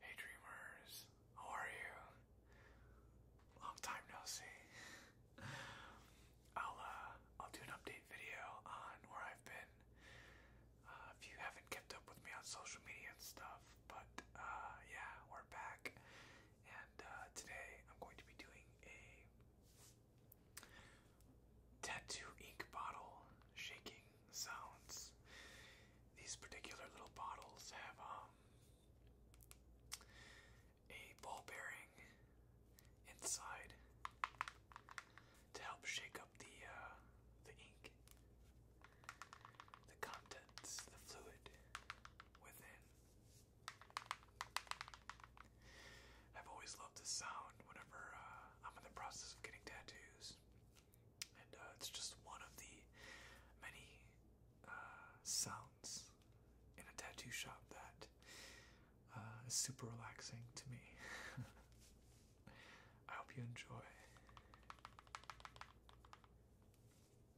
Hey dreamers, how are you? Long time no see. I'll uh, I'll do an update video on where I've been. Uh, if you haven't kept up with me on social media and stuff, but uh, yeah, back, and uh, today I'm going to be doing a tattoo ink bottle shaking sounds. These particular little bottles have um, a ball bearing inside to help shake up the uh, the ink the contents, the fluid within. I've always loved this sound whenever uh, I'm in the process of getting tattoos. And uh, it's just one of the many uh, sounds in a tattoo shop that is super relaxing to me. I hope you enjoy.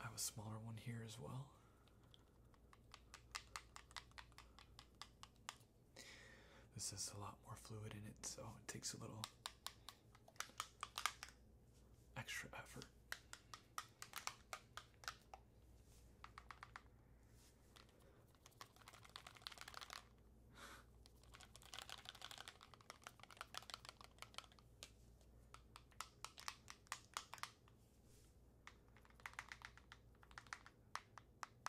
I have a smaller one here as well. This is a lot more fluid in it, so it takes a little extra effort.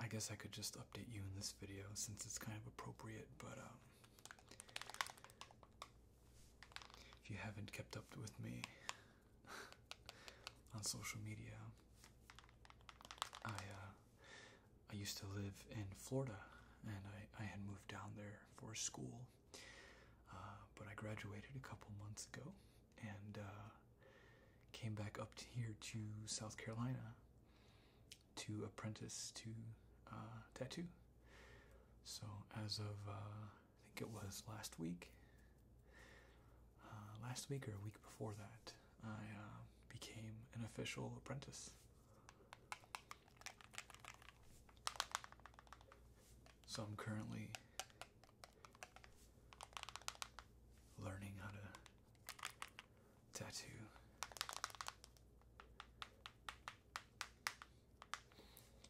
I guess I could just update you in this video since it's kind of appropriate, but um, if you haven't kept up with me on social media, I uh, I used to live in Florida, and I I had moved down there for school, uh, but I graduated a couple months ago and uh, came back up here to South Carolina to apprentice to uh, tattoo. So as of uh, I think it was last week, last week or a week before that, I became an official apprentice. So I'm currently learning how to tattoo.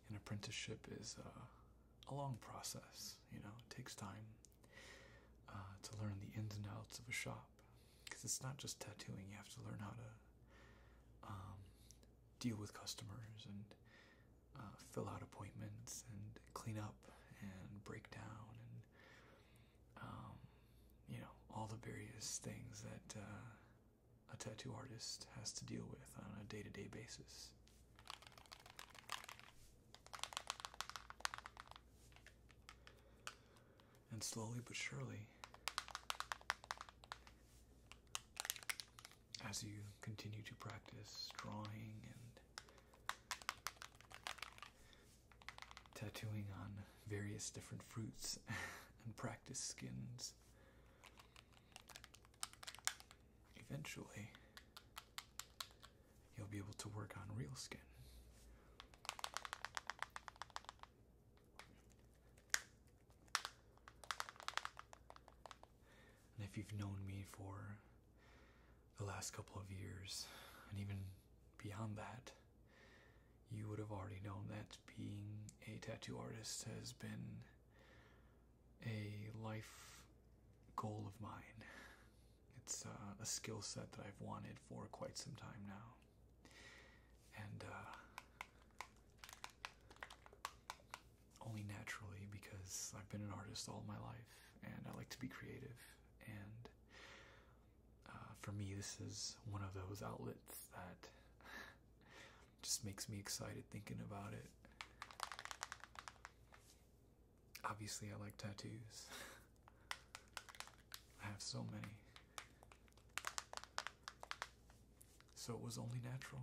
An apprenticeship is uh, a long process, you know, it takes time uh, to learn the ins and outs of a shop because it's not just tattooing, you have to learn how to um, deal with customers and uh, fill out appointments and clean up and break down and um, you know all the various things that uh, a tattoo artist has to deal with on a day to -day basis. And slowly but surely, as you continue to practice drawing and tattooing on various different fruits and practice skins. Eventually, you'll be able to work on real skin. And if you've known me for the last couple of years, and even beyond that, you would have already known that being a tattoo artist has been a life goal of mine. It's uh, a skill set that I've wanted for quite some time now. And uh, only naturally because I've been an artist all my life and I like to be creative. And uh, for me, this is one of those outlets that just makes me excited thinking about it. Obviously, I like tattoos. I have so many. So it was only natural.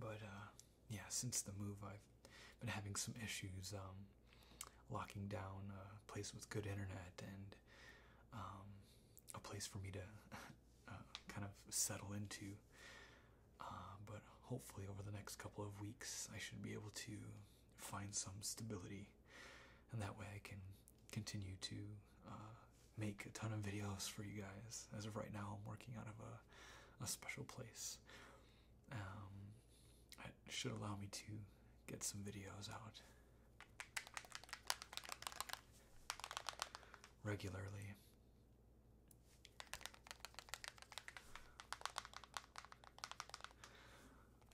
But uh yeah, since the move, I've been having some issues um, locking down a place with good internet and um, a place for me to uh, kind of settle into. Uh, but hopefully, over the next couple of weeks, I should be able to find some stability, and that way I can continue to uh, make a ton of videos for you guys. As of right now, I'm working out of a, a special place. Um, it should allow me to get some videos out regularly.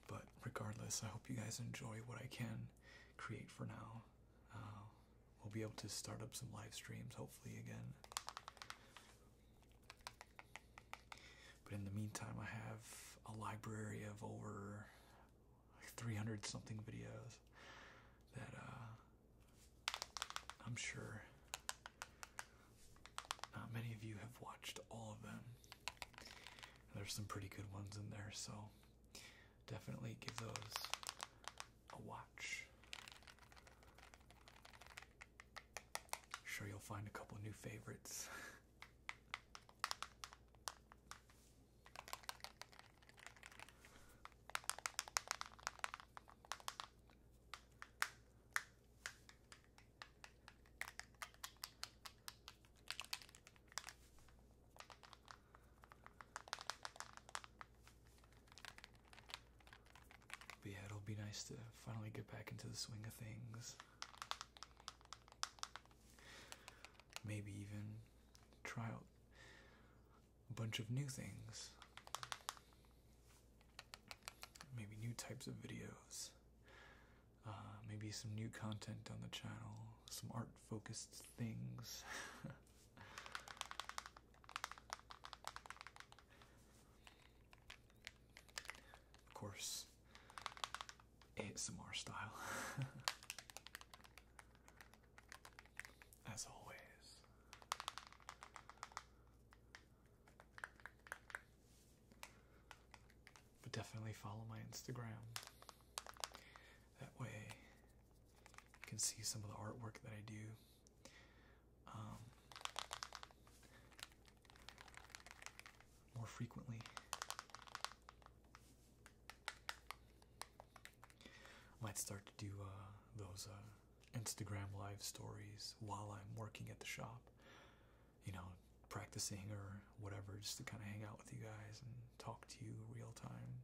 But regardless, I hope you guys enjoy what I can create for now. Uh, we'll be able to start up some live streams hopefully again. But in the meantime, I have a library of over 300 something videos that uh, I'm sure not many of you have watched all of them. There's some pretty good ones in there, so definitely give those a watch. Sure, you'll find a couple new favorites. But yeah, it'll be nice to finally get back into the swing of things. Maybe even try out a bunch of new things. Maybe new types of videos. Uh, maybe some new content on the channel, some art focused things. Of course, ASMR style. As always. But definitely follow my Instagram. That way you can see some of the artwork that I do. Um, more frequently. I might start to do uh, those uh, Instagram live stories while I'm working at the shop, you know, practicing or whatever, just to kind of hang out with you guys and talk to you real time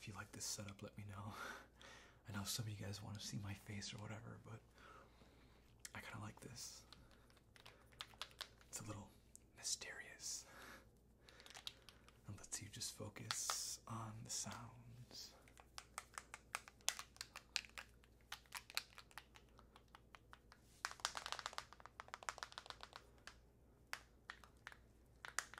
If you like this setup, let me know. I know some of you guys want to see my face or whatever, but I kind of like this. It's a little mysterious. And let's you just focus on the sounds.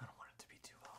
I don't want it to be too loud.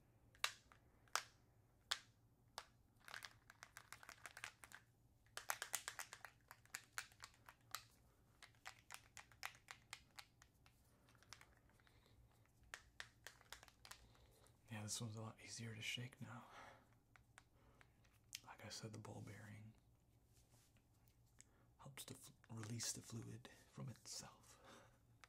Yeah, this one's a lot easier to shake now. Like I said, the ball bearing helps to release the fluid from itself.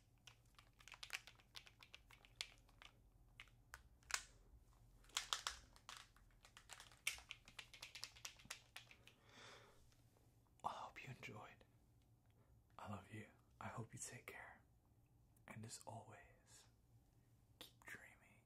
I hope you enjoyed. I love you. I hope you take care. And as always, keep dreaming.